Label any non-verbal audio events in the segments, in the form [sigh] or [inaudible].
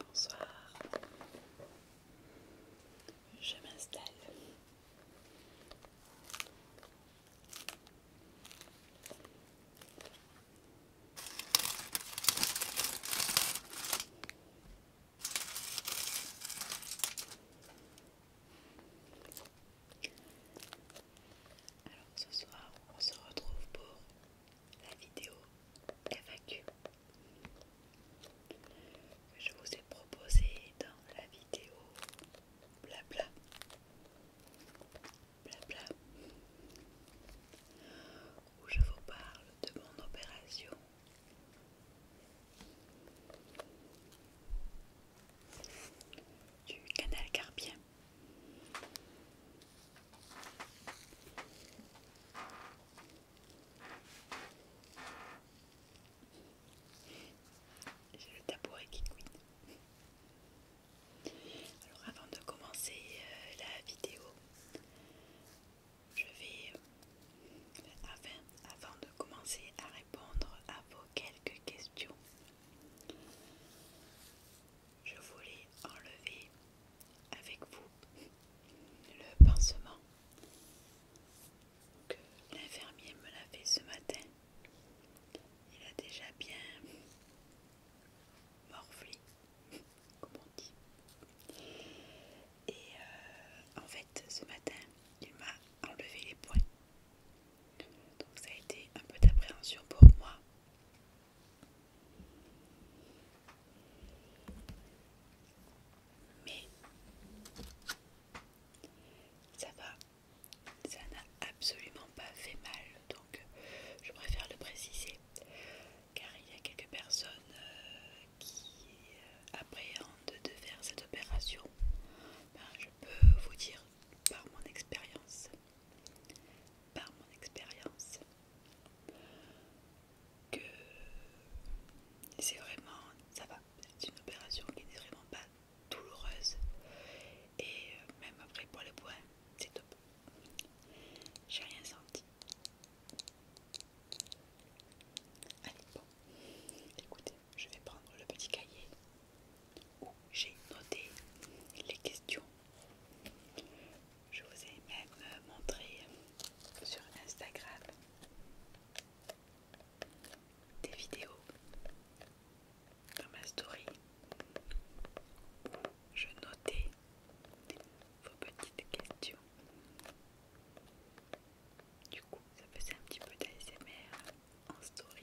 Bonsoir. Je m'installe. Alors ce soir, on se retrouve pour la vidéo FAQ que je vous ai proposée dans la vidéo blabla. Blabla. Où je vous parle de mon opération. Du canal carpien. J'ai le tabouret qui couine. Alors avant de commencer euh, la vidéo, je vais, euh, avant de commencer à répondre à vos quelques questions, je voulais enlever avec vous le pansement que l'infirmier me l'a fait ce matin. Il a déjà bien morflé, comme on dit. Et euh, en fait, ce matin, il m'a enlevé les points. Donc ça a été un peu d'appréhension pour moi. Mais ça va, ça n'a absolument pas fait mal, donc je préfère le préciser, car il y a quelques personnes euh, qui euh, appréhendent de faire cette opération. Ben, je peux vous dire par mon expérience par mon expérience que c'est vraiment ça va c'est une opération qui n'est vraiment pas douloureuse et euh, même après pour le points c'est top j'ai rien senti allez bon écoutez je vais prendre le petit cahier où j'ai noté les questions. Je vous ai même euh, montré sur Instagram des vidéos dans ma story où je notais vos petites questions. Du coup, ça faisait un petit peu d'ASMR en story.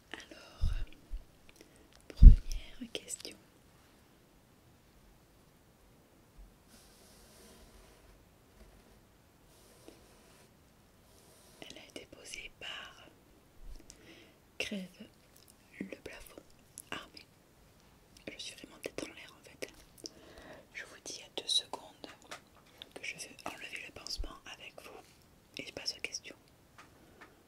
Alors, première question. Elle a été posée par Crève le plafond armé. Je suis vraiment tête en l'air en fait. Je vous dis à deux secondes que je vais enlever le pansement avec vous et je passe aux questions.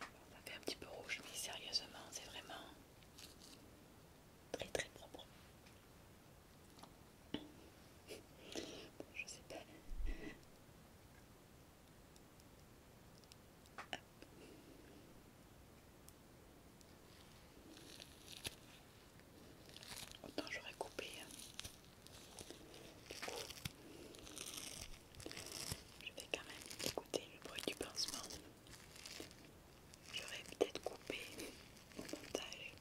Ça fait un petit peu rouge, mais sérieusement, c'est vraiment très très propre. je sais pas. Autant j'aurais coupé. Hein. Je vais quand même écouter le bruit du pansement. J'aurais peut-être coupé au montage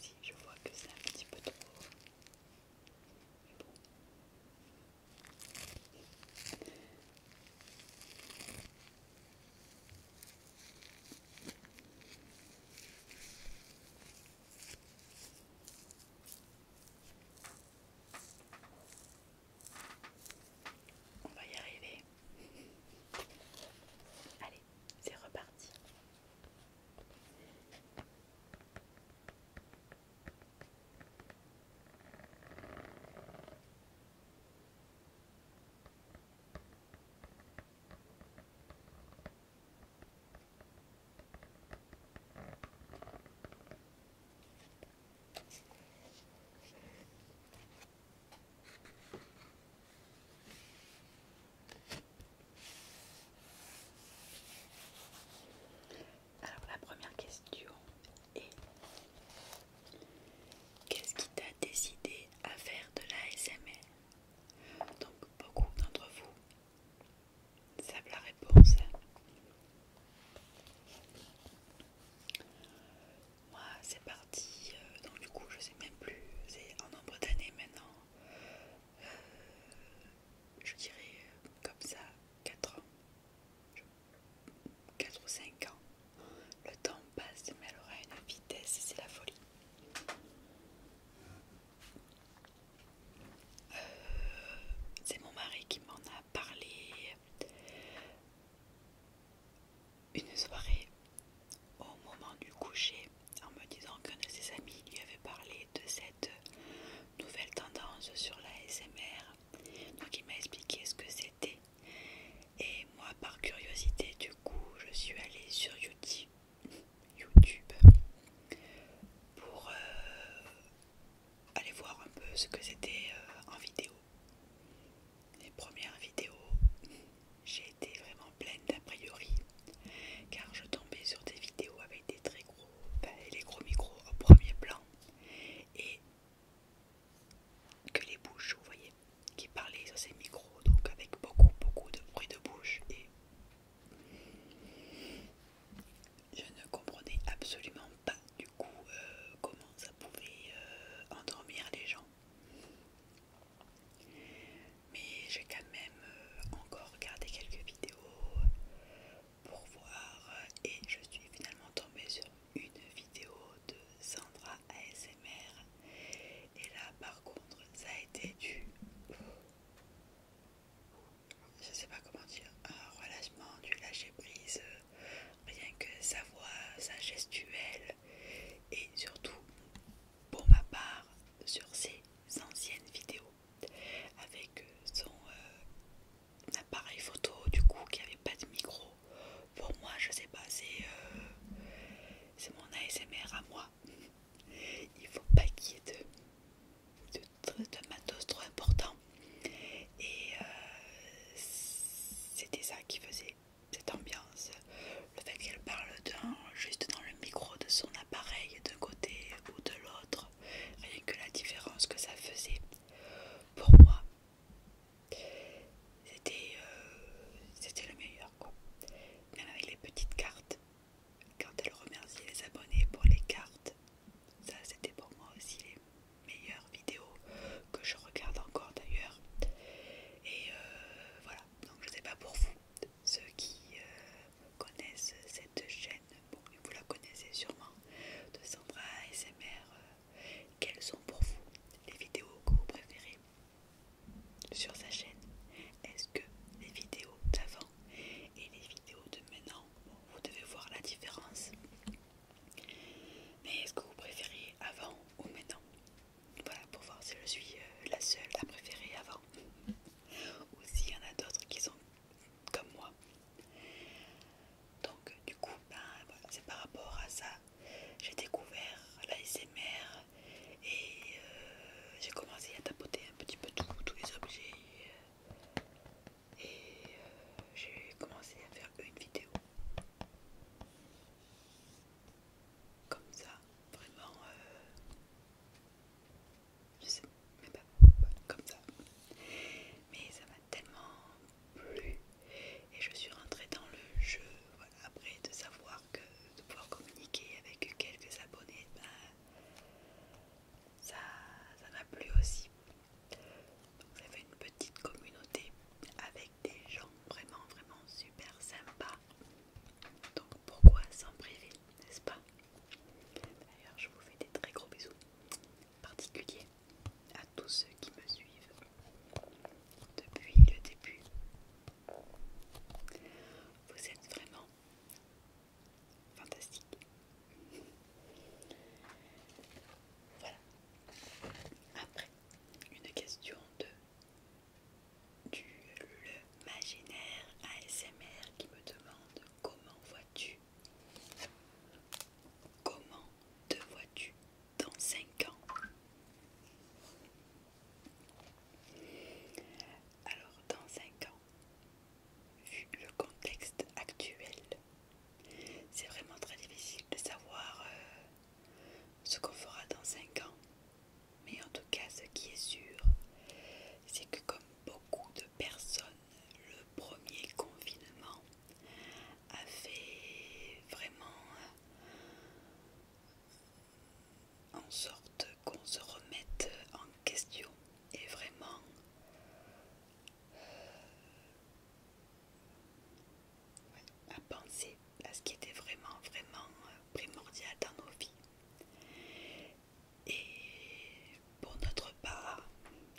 si je vois que c'est un petit peu trop. Mais on va y arriver. Allez, c'est reparti. Alors la première question est qu'est-ce qui t'a décidé à faire de la SML Donc beaucoup d'entre vous save la réponse. Moi, c'est parti. Euh, donc, du coup, je sais même plus. C'est en nombre d'années maintenant. Euh, je dirais euh, comme ça 4 ans. 4 ou 5 ans. Le temps passe, mais elle aura une vitesse, c'est la folie. c'est mon mari qui m'en a parlé une soirée au moment du coucher en me disant qu'un de ses amis lui avait parlé de cette nouvelle tendance sur la SMR. Donc il m'a expliqué ce que c'était. Et moi par curiosité du coup je suis allée sur YouTube [laughs] YouTube pour euh, Allez voir un peu ce que c'était euh, en vidéo. Les premières vidéos, j'ai été vraiment pleine d'a priori, car je tombais sur des vidéos avec des très gros, ben, les gros micros au premier plan, et que les bouches, vous voyez, qui parlaient sur ces micros, donc avec beaucoup, beaucoup de bruit de bouche, et je ne comprenais absolument pas du coup euh, comment ça pouvait euh, endormir les gens. Mais j'ai quand même euh, encore regardé quelques vidéos pour voir et je suis finalement tombée sur une vidéo de Sandra ASMR et là par contre ça a été du je sais pas comment dire, un relâchement du lâcher prise, euh, rien que sa voix, sa gestuelle et surtout pour ma part sur ses anciennes vidéos avec euh, son euh, appareil photo du coup qui avait pas de micro. Pour moi, je sais pas, c'est mon ASMR à moi. Il faut pas qu'il y ait de, de matos trop important et euh, c'était ça qui faisait cette ambiance. Le fait qu'elle parle d'un, juste dans le micro de son appareil, d'un côté ou de l'autre, rien que la différence que ça faisait pour moi. C'était euh, le meilleur quoi. Même avec les petites cartes, quand elle remerciait les abonnés pour les cartes, ça, c'était pour moi aussi les meilleures vidéos que je regarde encore d'ailleurs. Et euh, voilà, donc je sais pas pour vous, ceux qui euh, connaissent cette chaîne, bon, vous la connaissez sûrement, de Sandra SMR euh, quelles sont pour vous les vidéos que vous préférez sur sa chaîne Est-ce que les vidéos d'avant et les vidéos de maintenant, vous devez voir la différence mais est-ce que vous préfériez avant ou maintenant Voilà, pour voir si je suis euh, la seule à préférer avant. [laughs] ou s'il y en a d'autres qui sont comme moi. Donc du coup, ben, c'est par rapport à ça. J'ai découvert l'ASMR et euh, j'ai commencé à tapoter un petit peu tout, tous les objets. Euh, et euh, j'ai commencé à faire une vidéo comme ça vraiment euh, je sais mais pas comme ça mais ça m'a tellement plu et je suis rentrée dans le jeu après de savoir que de pouvoir communiquer avec quelques abonnés bah, ça m'a plu aussi vous avez une petite communauté avec des gens vraiment vraiment super sympas. Donc pourquoi s'en priver, n'est-ce pas D'ailleurs je vous fais des très gros bisous particuliers à tous ceux qui me suivent depuis le début. Vous êtes vraiment fantastiques voilà. Après, une question de du le maginaire ASMR qui me demande comment vois-tu Comment te vois-tu dans 5 ans Alors dans 5 ans, vu le contexte actuel, c'est vraiment très difficile de savoir euh, ce qu'on fera dans 5 ans. Mais en tout cas, ce qui est sûr, c'est que comme beaucoup de personnes, le premier confinement a fait vraiment euh, en sorte qu'on se remette en question et vraiment à penser à ce qui était vraiment, vraiment euh, primordial dans nos vies. Et pour notre part,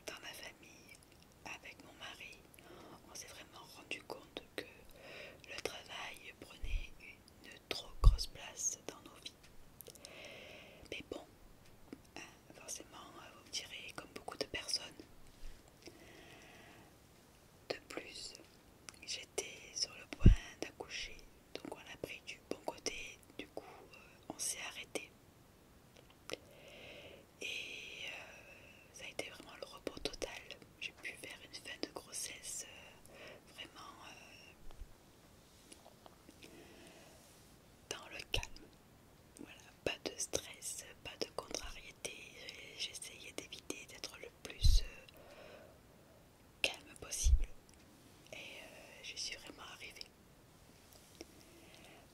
dans la famille, avec mon mari, on s'est vraiment rendu compte que le travail prenait une trop grosse place dans nos vies. Mais bon, euh, forcément, euh, vous me direz, comme beaucoup de personnes. De plus, j'étais sur le point d'accoucher, donc on a pris du bon côté, du coup, euh, on s'est arrêté. Et ça a été vraiment le repos total. J'ai pu faire une fin de grossesse vraiment dans le calme. Voilà, pas de stress, pas de contrariété. J'essayais d'éviter d'être le plus euh, calme possible et euh, j'y je suis vraiment arrivée.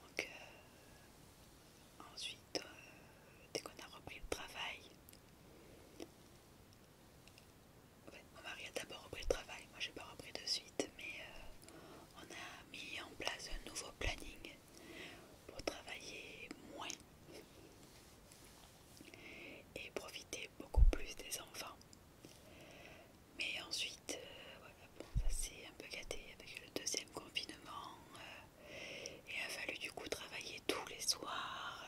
Donc, euh, ensuite, dès qu'on a repris le travail, mon mari a d'abord repris le travail, moi j'ai pas repris de suite, mais on a mis en place un nouveau planning pour travailler moins et profiter beaucoup plus des enfants. Mais ensuite, euh, ça s'est un peu gâté avec le deuxième confinement. Euh, et a fallu du coup travailler tous les soirs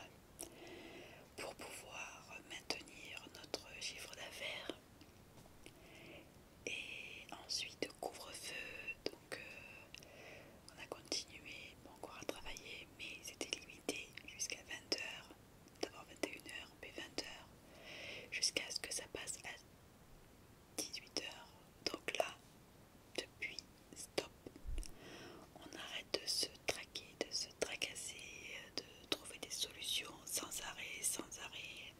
pour pouvoir maintenir notre chiffre d'affaires. Et ensuite, couvre-feu, donc euh, on a continué encore à travailler, mais c'était limité jusqu'à 20h, d'abord 21h, puis 20h, jusqu'à ce que ça passe à 18h. Donc là, depuis, stop. On arrête de se traquer, de se tracasser, de trouver des solutions sans arrêt, sans arrêt,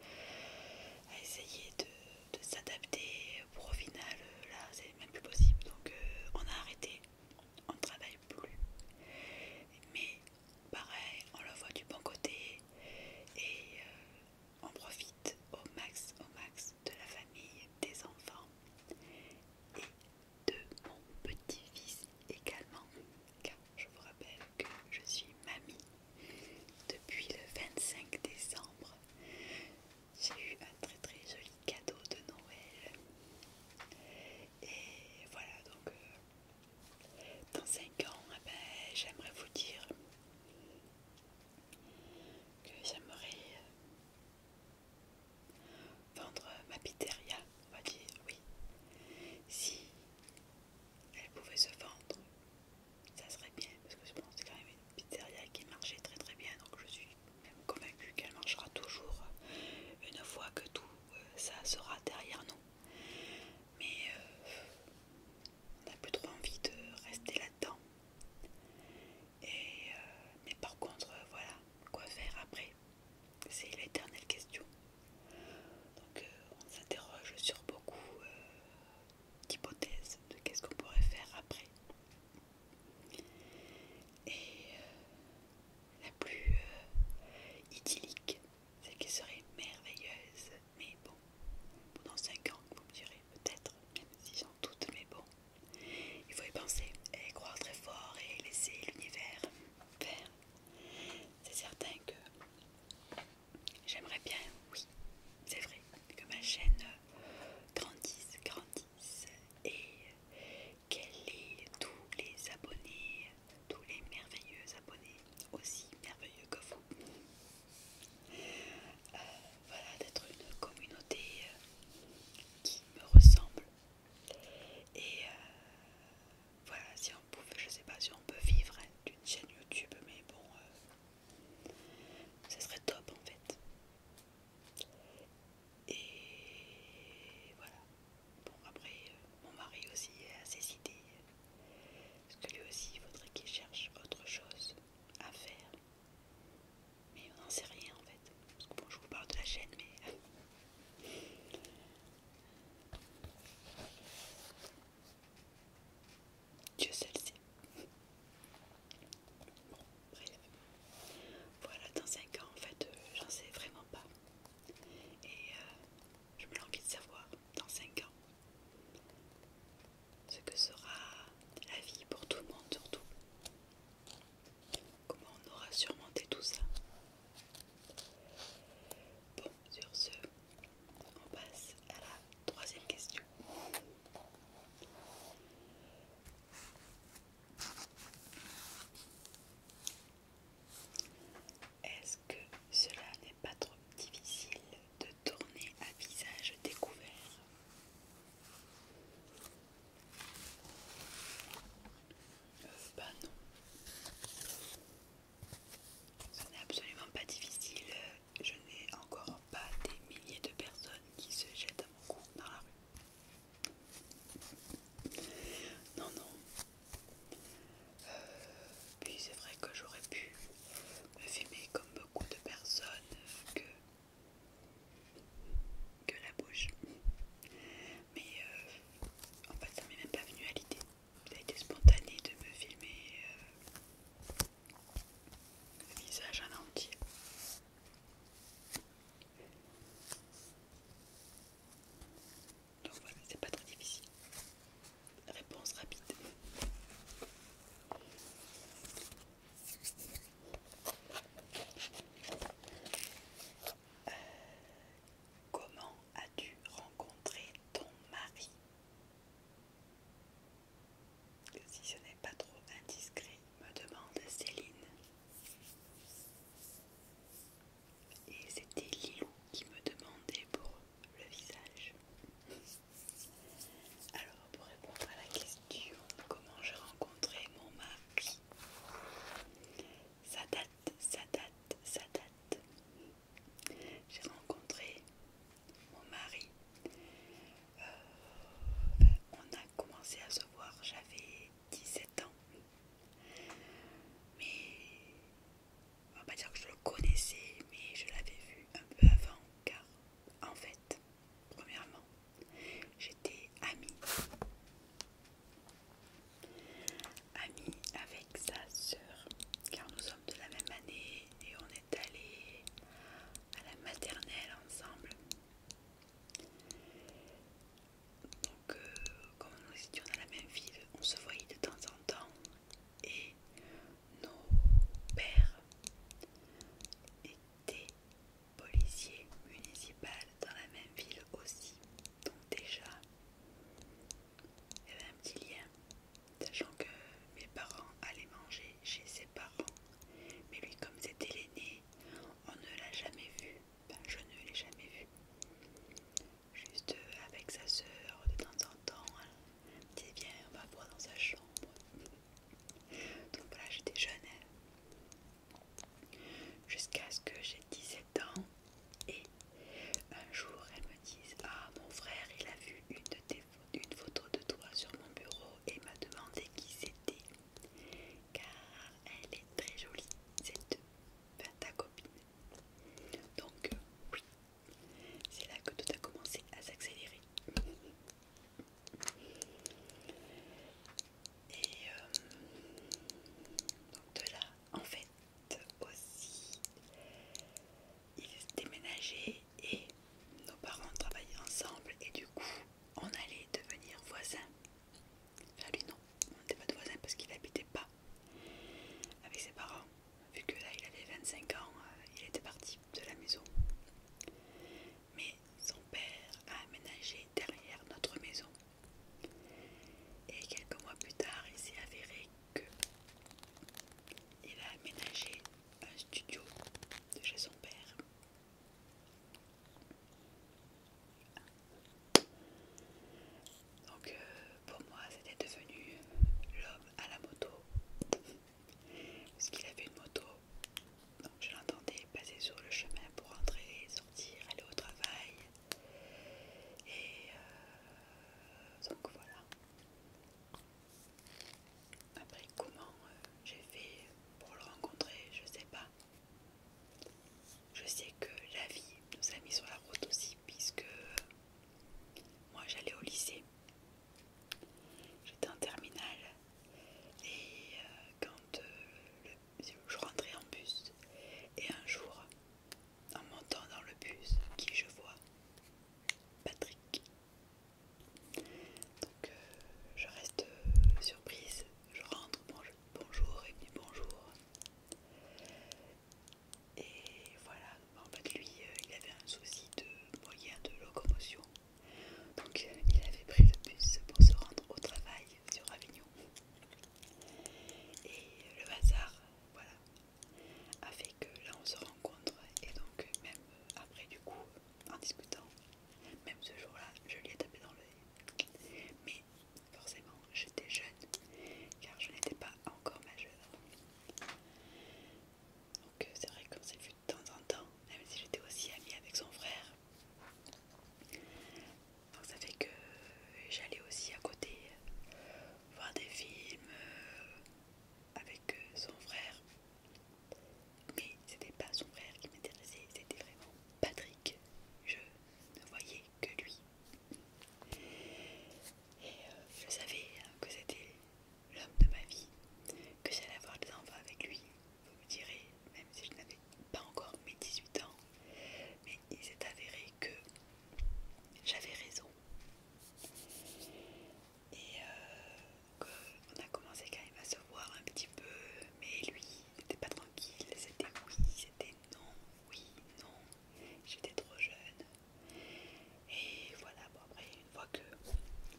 à essayer de de s'adapter pour au final euh, là c'est même plus possible donc euh, on a arrêté on ne travaille plus mais pareil on le voit du bon côté et euh, on profite au max au max de la famille des enfants et de mon petit-fils également car je vous rappelle que je suis mamie depuis le 25 décembre, j'ai eu un très très joli cadeau de Noël. Et voilà, donc euh, dans 5 ans, eh ben, j'aimerais vous dire que j'aimerais euh, vendre ma pizzeria, on va dire, oui. Si elle pouvait se vendre ça serait bien parce que je pense c'est quand même une pizzeria qui marchait très très bien donc je suis même convaincue qu'elle marchera toujours euh, une fois que tout euh, ça sera derrière nous. Mais euh, on n'a plus trop envie de rester là-dedans. Et mais par contre voilà, quoi faire après C'est l'éternelle question. Donc on s'interroge sur beaucoup d'hypothèses de qu'est-ce qu'on pourrait faire après. Et euh, la plus euh, idyllique, celle qui serait merveilleuse, mais bon, pendant 5 ans, vous me direz peut-être, même si j'en doute, mais bon, il faut y penser et croire très fort et laisser l'univers faire. C'est certain que J'aimerais bien, oui, c'est vrai, que ma chaîne euh, grandisse, grandisse et euh, qu'elle ait tous les abonnés, tous les merveilleux abonnés, aussi merveilleux que vous. Euh, voilà, d'être une communauté qui me ressemble. Et voilà, si on je sais pas si on peut vivre hein, d'une chaîne YouTube, mais bon, ce serait top en fait. Et voilà. Bon, après, euh, mon mari aussi a ses idées. Parce que lui aussi, il faudrait qu'il cherche autre chose à faire. Mais on n'en sait rien en fait. Parce que bon, je vous parle de la chaîne, mais. [laughs] Dieu celle-ci. Bon, bref. Voilà, dans 5 ans, en fait, euh, j'en sais vraiment pas. Et euh, je me l'envie de savoir, dans 5 ans, ce que sera la vie pour tout le monde, surtout. Comment on aura surmonté tout ça. Bon, sur ce, on passe à la troisième question. Est-ce que cela n'est pas trop difficile de tourner à visage découvert euh, Bah non. Ce n'est absolument pas difficile euh, je n'ai encore pas des milliers de personnes qui se jettent à mon compte dans la rue. Non, non. Euh, puis c'est vrai que j'aurais pu me filmer comme beaucoup de personnes que, que la bouche. Mais euh, en fait ça m'est même pas venu à l'idée. Ça a été spontané de me filmer euh, le visage en entier. Donc voilà, c'est pas très difficile. Réponse rapide. Euh, comment as-tu rencontré ton mari si ce n'est pas trop indiscret, me demande Céline. Et c'était Lilou qui me demandait pour le visage. Alors pour répondre à la question comment j'ai rencontré mon mari, ça date, ça date, ça date. J'ai rencontré mon mari, euh, on a commencé à se voir, j'avais 17 ans. Mais on va pas dire que je le connaissais, mais je l'avais vu un peu avant, car en fait, premièrement, j'étais amie. Amie avec sa sœur, car nous sommes de la même année et on est allés à la maternelle ensemble. Donc, euh, comme nous étions dans la même ville, on se voyait de temps en temps et nos pères étaient policiers municipaux dans la même ville aussi. Donc, déjà, il y avait un petit lien sachant que mes parents allaient manger chez ses parents. Mais lui, comme c'était l'aîné, on ne l'a jamais vu. Ben, je ne l'ai jamais vu. Juste euh, avec sa soeur de temps en temps, elle me disait on va voir dans sa chambre. [laughs] Donc voilà, j'étais jeune. Hein. Jusqu'à ce que j'ai 17 ans. Et un jour, elle me dit Ah, mon frère, il a vu une de tes une photo de toi sur mon bureau et m'a demandé qui c'était car elle est très jolie, cette ben, ta copine. Donc euh, oui, c'est là que tout a commencé à s'accélérer. Et euh, donc de là, en fait, aussi, s'est déménagé et nos parents travaillaient ensemble et du coup on allait devenir voisins. Enfin lui non, on n'était pas de voisins parce qu'il n'habitait pas avec ses parents. Vu que là il avait 25 ans, euh, il était parti de la maison. Mais son père a aménagé derrière notre maison. Et quelques mois plus tard, il s'est avéré que il a aménagé un studio de chez son père. Donc euh, pour moi c'était devenu l'homme à la moto. Parce qu'il avait une moto. Donc je l'entendais passer sur le chemin pour entrer, sortir, aller au travail. Et euh, donc voilà. Après, comment euh, j'ai fait pour le rencontrer, je sais pas. Je sais que la vie nous a mis sur la route aussi, puisque euh, moi j'allais au lycée. J'étais en terminale et euh, quand je rentrais en bus, et un jour, en montant dans le bus, qui je vois Patrick donc euh, je reste euh, surprise, je rentre, bonjour, et puis bonjour. Et voilà, en fait lui euh, il avait un souci de moyen de locomotion. Donc il avait pris le bus pour se rendre au travail sur Avignon. Et le hasard, voilà, a fait que là on se rencontre et donc même après du coup en discutant. Même ce jour-là, je lui ai tapé dans l'œil. Mais forcément, j'étais jeune, car je n'étais pas encore majeure. Donc euh, c'est vrai qu'on s'est vu de temps en temps, même si j'étais aussi amie avec son frère. Donc ça fait que j'allais aussi à côté voir des films euh, avec euh, son frère mais c'était pas son frère qui m'intéressait, c'était vraiment Patrick. Je ne voyais que lui. Et euh, je savais hein, que c'était l'homme de ma vie, que j'allais avoir des enfants avec lui. Vous me direz, même si je n'avais pas encore mes 18 ans, mais il s'est avéré que j'avais raison. Et qu'on euh, on a commencé quand même à se voir un petit peu, mais lui n'était pas tranquille, c'était oui, c'était non, oui, non, j'étais trop jeune. Et voilà, bon après, une fois que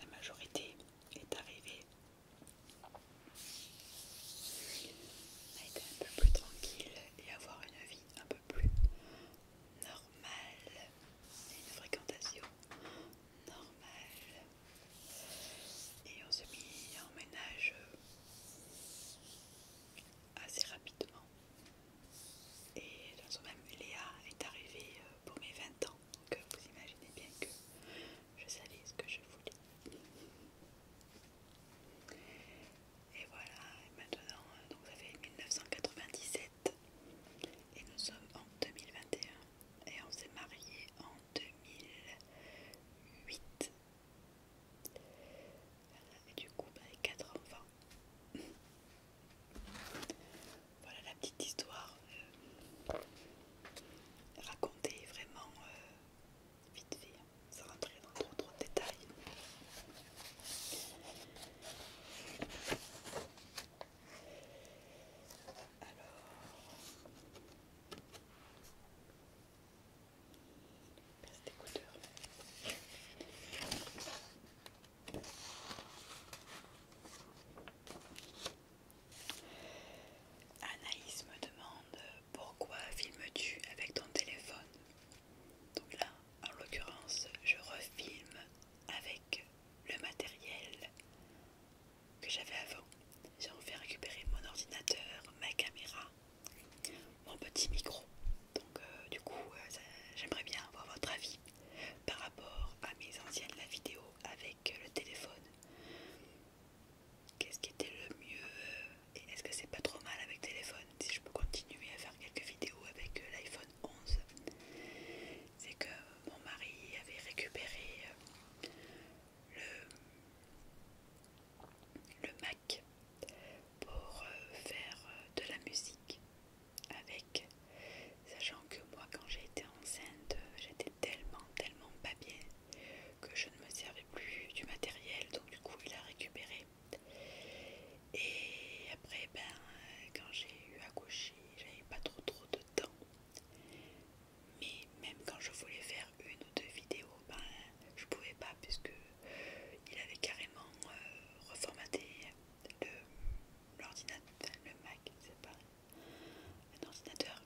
la majorité est arrivée, on a été un peu plus tranquille et avoir une vie un peu plus normale et une fréquentation normal. Et on se mis en ménage euh, assez rapidement. Et dans même, Léa est arrivée euh, pour mes 20 ans. Donc euh, vous imaginez bien que je savais ce que je voulais. Et voilà, maintenant, donc ça fait 1997 et nous sommes en 2021 et on s'est marié en 2008. Et du coup, avec a 4 enfants. Voilà la petite histoire euh, racontée vraiment euh, vite fait, hein, sans rentrer dans trop de détails. Alors, Anaïs me demande pourquoi filmes-tu avec ton téléphone Donc là, en l'occurrence, je refilme avec le matériel que j'avais avant. J'ai fait récupéré mon ordinateur, ma caméra, mon petit micro. Donc euh, du coup, euh, j'aimerais bien avoir votre avis par rapport à mes anciennes vidéos avec euh, le téléphone. Qu'est-ce qui était le mieux et est-ce que c'est pas trop mal avec téléphone si je peux continuer à faire quelques vidéos avec l'iPhone 11 c'est que mon mari avait récupéré euh, le, le Mac pour euh, faire euh, de la musique avec, sachant que moi quand j'ai été enceinte, j'étais tellement, tellement pas bien que je ne me servais plus du matériel, donc du coup il a récupéré. Et après, ben, quand j'ai eu accouché, j'avais pas trop trop de temps mais même quand je voulais faire une ou deux vidéos, je ben, je pouvais pas puisque il avait carrément euh, reformaté l'ordinateur, le Mac, sais pas un ordinateur.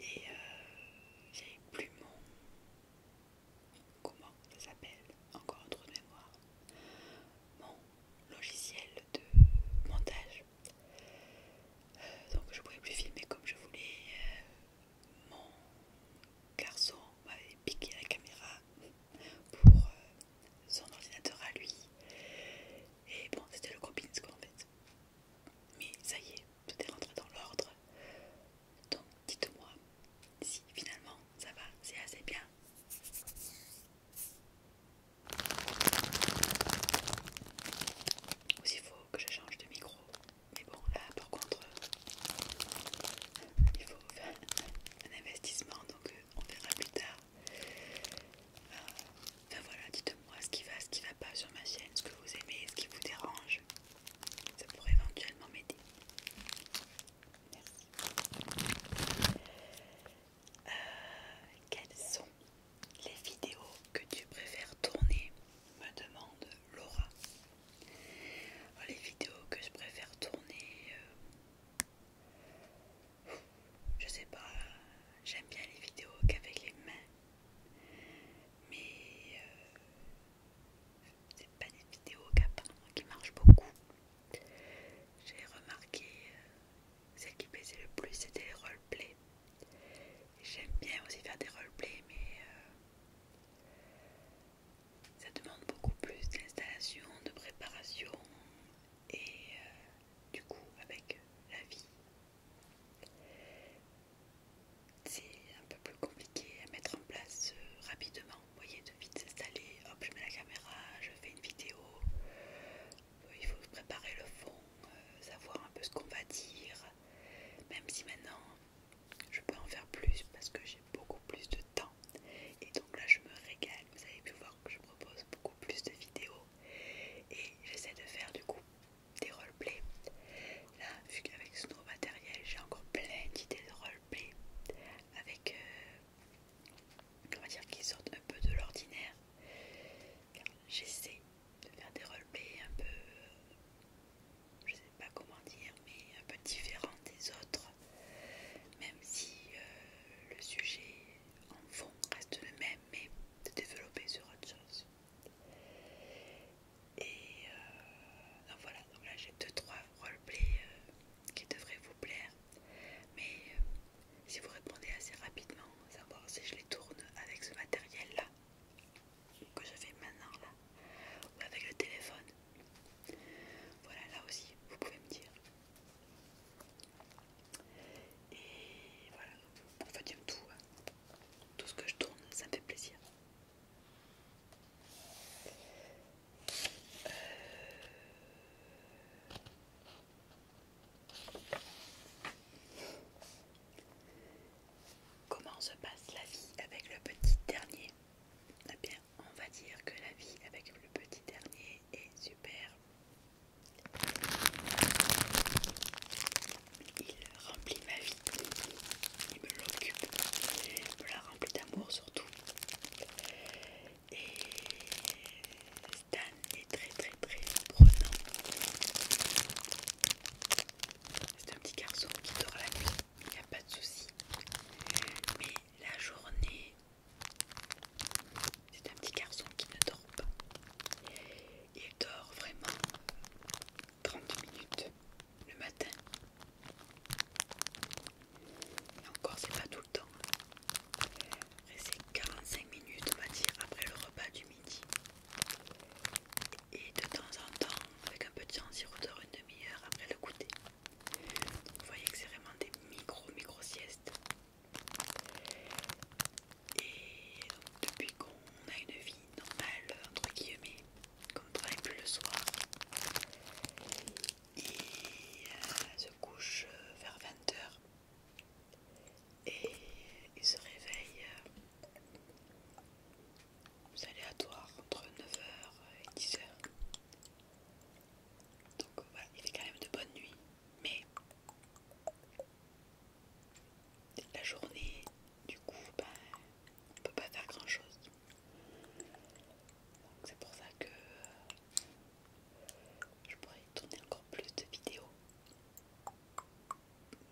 Et euh, j'avais plus mon... Comment ça s'appelle Encore un trou de mémoire. Mon logiciel de montage. Euh, donc je ne pouvais plus filmer comme je voulais. Euh, mon garçon m'avait piqué la caméra pour euh, son ordinateur à lui. Et bon, c'était le gros quoi en fait. Mais ça y est, tout est rentré dans l'ordre. Donc dites-moi si finalement ça va, c'est assez bien. Il faut que je change de micro. Mais bon, là par contre, euh, il faut faire un investissement, donc euh, on verra plus tard. Euh, enfin voilà, dites-moi ce qui va, ce qui va pas sur ma chaîne, ce que vous aimez, ce qui vous dérange. Ça pourrait éventuellement m'aider. Merci. Euh, quelles sont les vidéos que tu préfères tourner me demande Laura. Oh, les vidéos que je préfère tourner, euh, je sais pas, j'aime bien les vidéos qu'avec les mains, mais euh, c'est pas des vidéos qui marchent beaucoup. J'ai remarqué celle qui plaisait le plus c'était les roleplays. J'aime bien aussi faire des roleplays, mais euh, ça demande beaucoup plus d'installation, de préparation et euh, du coup avec euh, la vie. C'est un peu plus compliqué à mettre en place rapidement. Vous voyez, de vite s'installer, hop, je mets la caméra, je fais une vidéo, il faut préparer le fond, euh, savoir un peu ce qu'on va dire, même si maintenant je peux en faire plus parce que j'ai beaucoup plus de temps. Et donc là je me régale, vous avez pu voir que je propose beaucoup plus de vidéos et j'essaie de faire du coup des roleplays. Là vu qu'avec ce nouveau matériel j'ai encore plein d'idées de roleplay avec, comment euh, dire, qui sortent un peu de l'ordinaire j'essaie de faire des roleplays un peu, euh, je sais pas comment dire, mais un peu différents des autres, même si euh, le sujet en fond reste le même, mais de développer sur autre chose. Et euh, donc voilà, donc là j'ai 2-3 roleplays qui devraient vous plaire, mais si vous répondez assez rapidement, savoir si je les tourne avec ce matériel là que je fais maintenant là ou avec le téléphone. Voilà, là aussi, vous pouvez me dire. Et voilà, pour fait tout. Hein. Tout ce que je tourne, ça me fait plaisir. Euh, Comment se passe la vie avec le petit dernier Eh bien, on va dire que la vie avec le petit dernier est super. Il remplit ma vie, il me l'occupe, il me la remplit d'amour surtout. Et Stan est très très très prenant. C'est un petit garçon qui dort la nuit, il n'y a pas de souci. Mais la journée, c'est un petit garçon qui ne dort pas. Il dort vraiment 30 minutes le matin. Et encore, c'est pas tout le temps. C'est 45 minutes, on va dire, après le repas du midi. Et de temps en temps, avec un peu petit il siroteur une demi-heure après le goûter. vous voyez que c'est vraiment des micro-micro-siestes. Et depuis qu'on a une vie normale, entre guillemets, qu'on ne travaille plus le soir, et euh, se couche euh, vers 20h et il se réveille euh, aléatoire entre 9h et 10h. Donc euh, voilà, il fait quand même de bonne nuit, mais la journée, du coup, ben, on peut pas faire grand chose. C'est pour ça que je pourrais tourner encore plus de vidéos.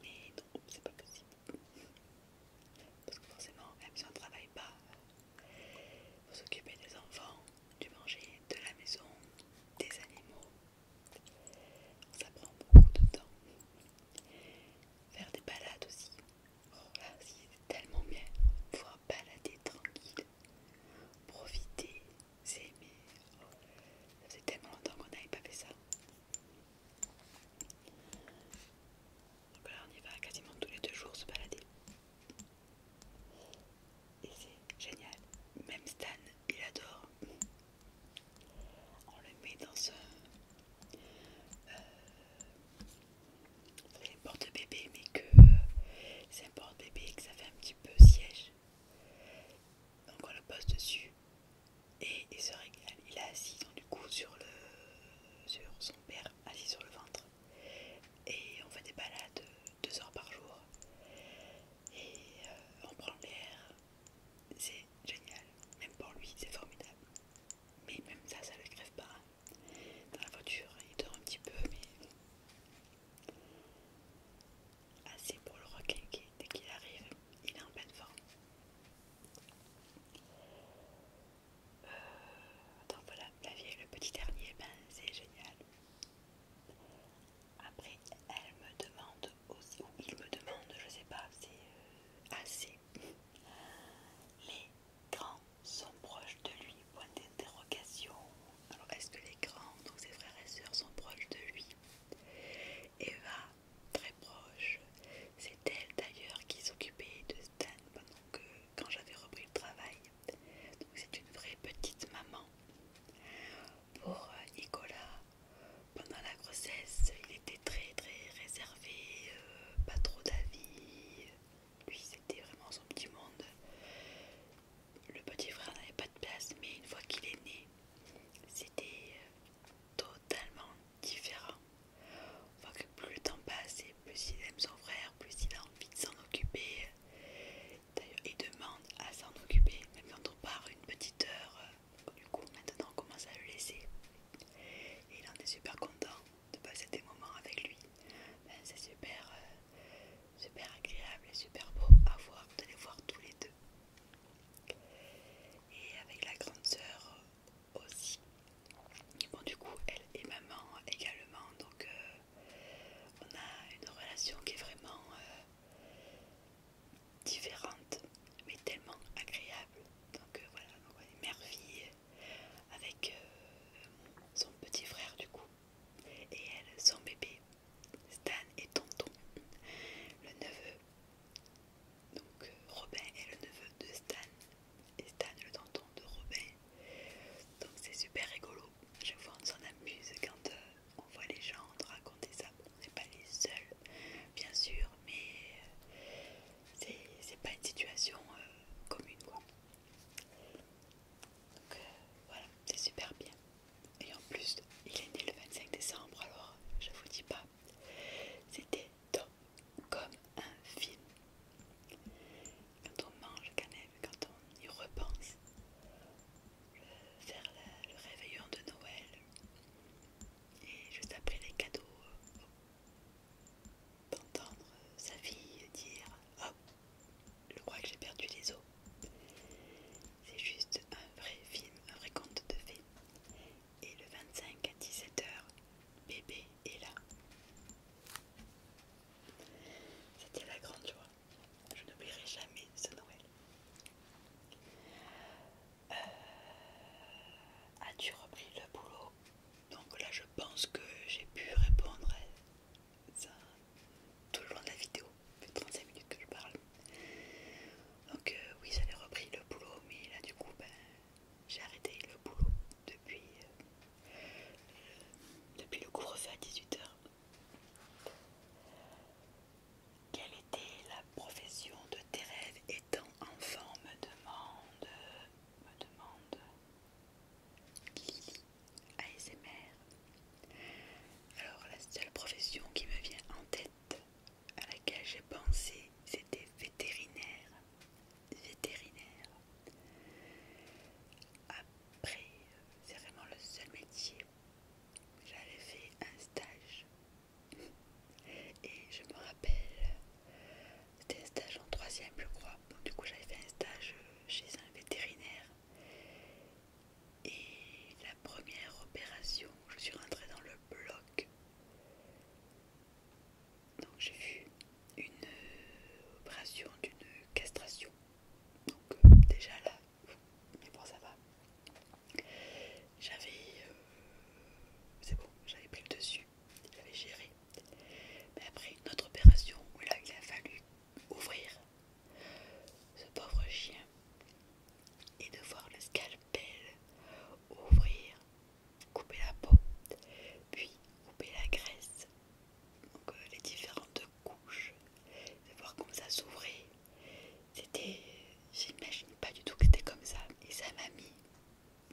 Mais non, c'est pas possible. Parce que forcément, même si on ne travaille pas, Vous euh, occupez des enfants, du manger, de la maison, des animaux. Ça prend beaucoup de temps. Faire des balades aussi. Oh c'est tellement bien. Pouvoir balader tranquille, profiter c'est mais ça fait tellement longtemps qu'on n'avait pas fait ça. Donc là, on y va quasiment tous les deux jours se balader. Et c'est génial. Même Stan, il adore. On le met dans ce. c'est euh, un porte-bébé, mais que euh, c'est un porte-bébé que ça fait un petit peu siège. Donc on le pose dessus et il se régale. Il est assis du coup sur, le, sur son père, assis sur le ventre. Et on fait des balades deux heures par jour. Et euh, on prend l'air. C'est génial. Même pour lui, c'est formidable. Mais même ça, ça le crève pas. Dans la voiture, il dort un petit peu, mais Assez pour le requinquer dès qu'il arrive, il est en pleine forme. Euh, attends, voilà, la vieille, le petit dernier, ben c'est génial. Après, elle me demande aussi, ou il me demande, je sais pas, c'est euh, assez. Les grands sont proches de lui, point d'interrogation. Alors, est-ce que les grands, donc ses frères et sœurs, sont proches de lui Eva, très proche, c'est elle d'ailleurs qui s'occupait de Stan pendant que quand j'avais repris le travail. Donc c'est une vraie petite maman. Pour euh, Nicolas, pendant la grossesse, il était très très réservé, euh, pas trop d'avis. Lui, c'était vraiment son petit monde le petit frère n'avait pas de place, mais une fois qu'il est né, c'était euh, totalement différent. On voit que plus le temps passe et plus il aime son frère, plus il a envie de s'en occuper. D'ailleurs, il demande à s'en occuper, même quand on part une petite heure. Euh, du coup, maintenant, on commence à le laisser. Et il en est super content de passer des moments avec lui. Ben, c'est super, euh, super agréable et super beau à voir, de les voir tous les deux et avec la grande sœur aussi. Bon du coup elle est maman également donc euh, on a une relation qui est vraiment euh, différente mais tellement agréable. Donc euh, voilà, on est mère-fille avec son petit frère du coup et elle son bébé Stan et Tonton, le neveu. Donc euh, Robin est le neveu de Stan et Stan le tonton de Robin. Donc c'est super rigolo. Chaque fois on s'en amuse quand euh, on voit les gens raconter ça. on n'est pas les seuls, bien sûr, mais euh, c'est pas une situation commune quoi. Donc voilà, c'est super bien. Et en plus, il est né le 25 décembre, alors je vous dis pas. C'était comme un film. Quand on mange quand quand on y repense, faire le réveillon de Noël et juste après les cadeaux, d'entendre sa fille dire hop, oh, je crois que j'ai perdu les os. C'est juste un vrai film, un vrai conte de fées. Et le 25 à 17h, bébé est là. C'était la grande joie. Je n'oublierai jamais ce Noël. Euh, as-tu repris le boulot Donc là, je pense que j'ai pu répondre à ça tout le long de la vidéo, 35 minutes que je parle. Donc euh, oui, j'avais repris le boulot, mais là du coup, ben, j'ai arrêté le boulot depuis, le, euh, euh, depuis le à 18h. Quelle était la profession de tes rêves étant enfant me demande me demande Lily ASMR alors la seule profession qui me vient en tête à laquelle j'ai pensé, c'était vétérinaire. Vétérinaire. Après, c'est vraiment le seul métier. J'avais fait un stage. [laughs] Et je me rappelle, c'était un stage en troisième je crois. du coup j'avais fait un stage chez un vétérinaire et la première opération, je suis rentrée dans le bloc. Donc j'ai vu une euh, opération d'une castration. Donc euh, déjà là, mais bon ça va. J'avais... Euh, c'est bon, j'avais pris le dessus, j'avais géré. Mais après une autre opération où là il a fallu ouvrir ce pauvre chien. Et de voir le scalpel ouvrir, couper la peau, puis couper la graisse, donc euh, les différentes couches, de voir comme ça s'ouvrait. C'était, j'imagine pas du tout que c'était comme ça. Et ça m'a mis,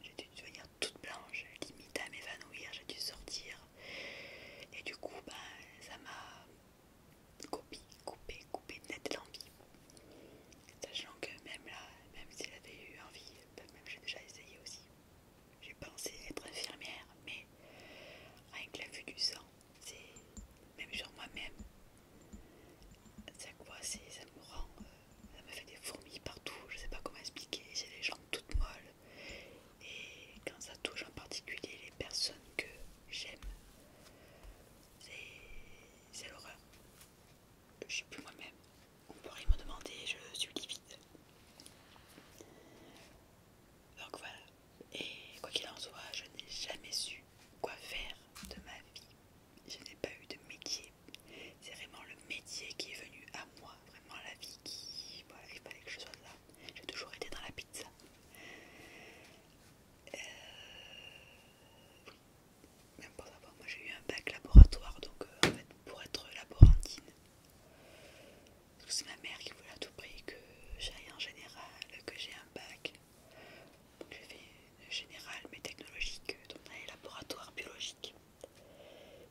j'ai dû devenir toute blanche, limite à m'évanouir, j'ai dû sortir. Et du coup, ben, ça m'a Copie, couper, couper net l'envie. Sachant que même là, même si avait eu envie, ben même j'ai déjà essayé aussi. J'ai pensé être infirmière, mais avec la vue du sang, c'est même sur moi-même. Ça me rend, euh, ça me fait des fourmis partout. Je sais pas comment expliquer. J'ai les jambes toutes molles et quand ça touche en particulier les personnes que j'aime, c'est l'horreur. Je suis plus moi-même. On pourrait me demander, je suis livide. Donc voilà. Et quoi qu'il en soit, je n'ai jamais su quoi faire de ma vie. Je n'ai pas eu de métier. C'est vraiment le métier qui est venu à moi. Vraiment la vie qui... Voilà, il fallait que je sois là. J'ai toujours été dans la pizza. Euh, même moi j'ai eu un bac laboratoire, donc euh, en fait pour être laborantine, parce que c'est ma mère qui voulait à tout prix que j'aille en général, que j'ai un bac. Donc j'ai fait général mais technologique, euh, donc dans les laboratoires biologiques.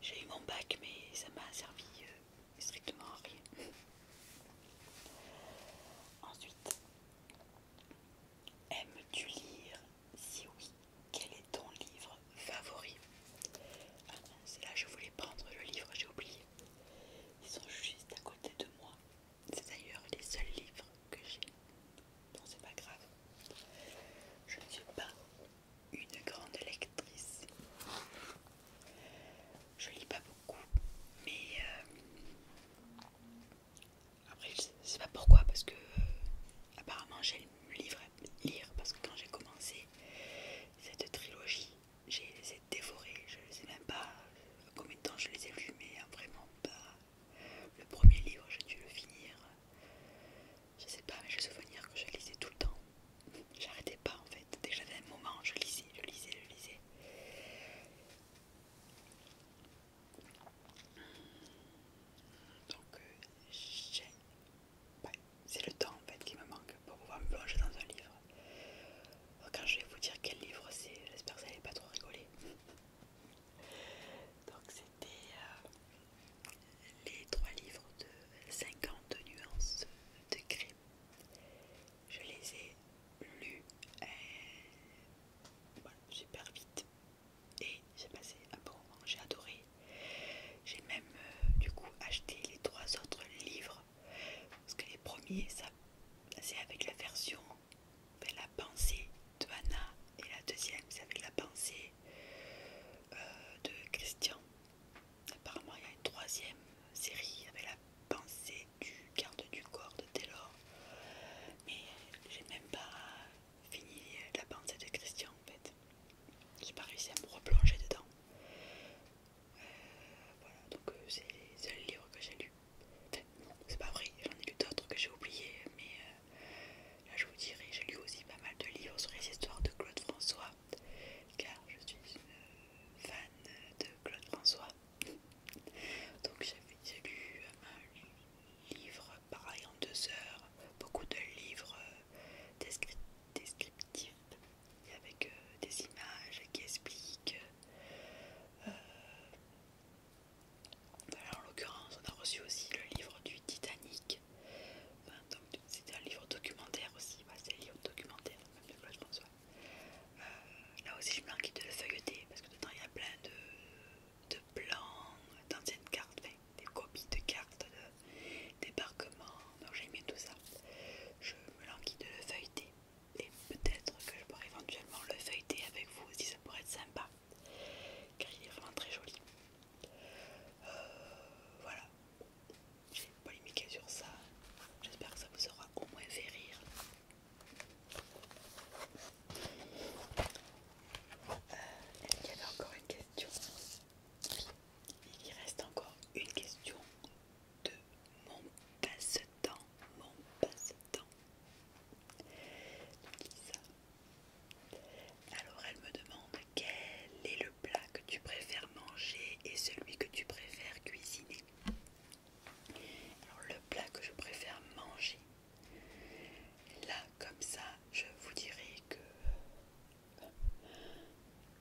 J'ai eu mon bac mais ça m'a servi euh, strictement à rien. Ensuite, Aimes-tu lire Si oui, quel est ton livre favori Ah non, c'est là je voulais prendre le livre, j'ai oublié. Ils sont juste à côté de moi. C'est d'ailleurs les seuls livres que j'ai. Non, c'est pas grave. Je ne suis pas une grande lectrice. Je lis pas beaucoup, mais euh, après, je sais pas pourquoi, parce que euh, apparemment, le livre à lire, parce que quand j'ai commencé cette trilogie, j'ai les ai dévorés. Je ne sais même pas euh, combien de temps je les ai lus, mais euh, vraiment pas. Le premier livre, j'ai dû le finir. Je sais pas, mais me souvenir que je lisais tout le temps. J'arrêtais pas en fait. Dès que j'avais un moment, je lisais, je lisais, je lisais. Donc euh, j'ai... c'est le temps en fait qui me manque pour pouvoir me plonger dans un livre. Quand je vais vous dire quel livre c'est, j'espère que ça n'allait pas trop rigoler. [laughs] Donc c'était euh, les trois livres de 50 nuances de gris je les ai lus euh, super vite et j'ai passé un bon moment, j'ai adoré. J'ai même euh, du coup acheté les trois autres livres parce que les premiers, ça c'est avec la version, la pensée de Anna et la deuxième c'est avec la pensée euh, de Christian. Apparemment, il y a une troisième série avec la pensée du garde du corps de Taylor, mais j'ai même pas fini la pensée de Christian en fait. J'ai pas réussi à me replonger dedans. Euh, voilà, donc euh, c'est les seuls livres que j'ai lus. c'est pas vrai, j'en ai lu d'autres que j'ai oubliés, mais euh, là je vous dirai, j'ai lu aussi pas mal de livres sur les histoires de Claude François, car je suis fan de Claude François [laughs] Donc j'ai lu un livre, pareil en deux heures, beaucoup de livres euh, descriptifs avec euh, des images qui expliquent. Euh, en l'occurrence, on a reçu aussi le livre du Titanic. C'était c'est un livre documentaire aussi, bah, c'est un livre documentaire, euh, là aussi, je me languis de le feuilleter parce que dedans il y a plein de, plans, d'anciennes cartes, des copies de cartes de débarquement. Donc j'ai bien tout ça. Je me languis de le feuilleter et peut-être que je pourrais éventuellement le feuilleter avec vous si ça pourrait être sympa car il est vraiment très joli. Euh, voilà, j'ai polémiqué sur ça. J'espère que ça vous aura au moins fait rire. Est-ce euh, qu'il y avait encore une question Il reste encore une question de mon passe-temps. Mon passe-temps. Alors elle me demande quel est le plat que tu préfères manger et celui que tu préfères cuisiner. Alors le plat que je préfère manger, là comme ça, je vous dirai que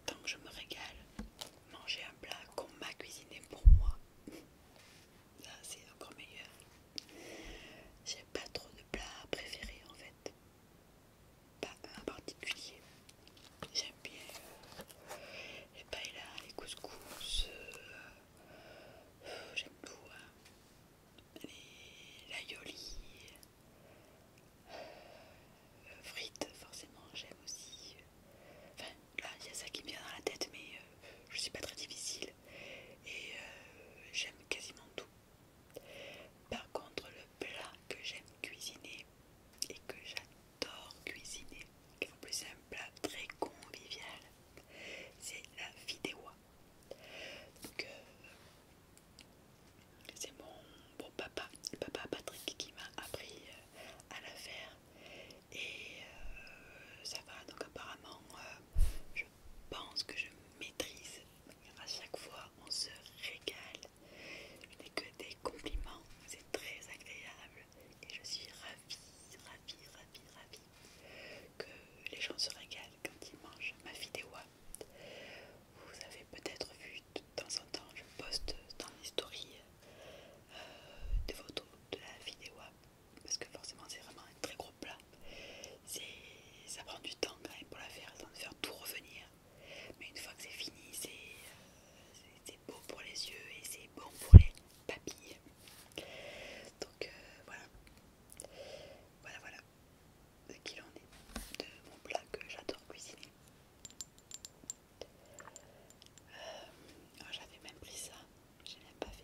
tant que je me régale, manger un plat qu'on m'a cuisiné pour moi, là c'est encore meilleur. J'ai pas trop de plats préférés en fait, pas un particulier. J'aime bien euh, les paella, les couscous, euh, j'aime tout. Hein. Les l'aioli, euh, frites, forcément, j'aime aussi. Enfin, là, il y a ça qui me vient dans la tête, mais euh, je suis pas très difficile et euh, j'aime quasiment tout. Par contre, le plat que j'aime cuisiner et que j'adore cuisiner, qui en plus simple, très convivial, c'est la vidéo. Donc euh, c'est mon bon papa, papa Patrick qui m'a appris euh, à la faire et euh, ça va donc apparemment je pense que je maîtrise. À chaque fois on se régale. Je n'ai que des compliments, c'est très agréable et je suis ravie ravi, ravi, ravi que les gens se régalent quand ils mangent ma vidéo. Vous avez peut-être vu de temps en temps, je poste dans les euh, des photos de la vidéo parce que forcément c'est vraiment un très gros plat. Ça prend du temps quand même pour la faire, de faire tout revenir. Mais une fois que c'est fini, c'est euh, beau pour les yeux et c'est bon pour les papilles. Donc euh, voilà. Voilà, voilà ce qui en est de mon plat que j'adore cuisiner. Euh, oh, j'avais même pris ça, j'ai même pas fait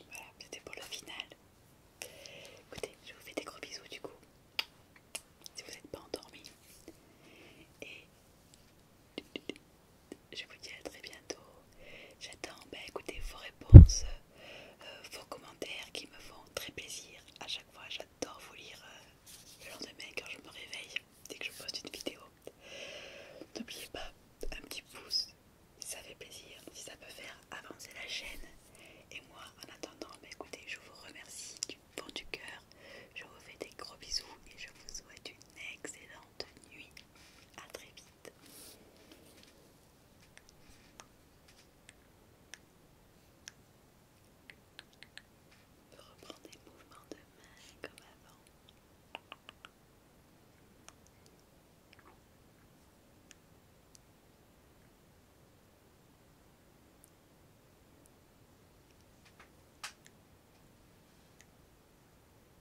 Voilà, c'était pour le final. Écoutez, je vous fais des gros bisous du coup. Si vous n'êtes pas endormi. Et je vous dis à très bientôt. J'attends, ben, écoutez, vos réponses, euh, vos commentaires qui me font très plaisir. À chaque fois, j'adore vous lire euh, le lendemain quand je me réveille, dès que je poste une vidéo. N'oubliez pas un petit pouce si ça fait plaisir, si ça peut faire avancer la chaîne. Et moi, en attendant, ben, écoutez, je vous remercie du fond du cœur. Je vous fais des gros bisous et je vous souhaite une excellente nuit. À très vite. On peut reprendre des mouvements de main comme avant.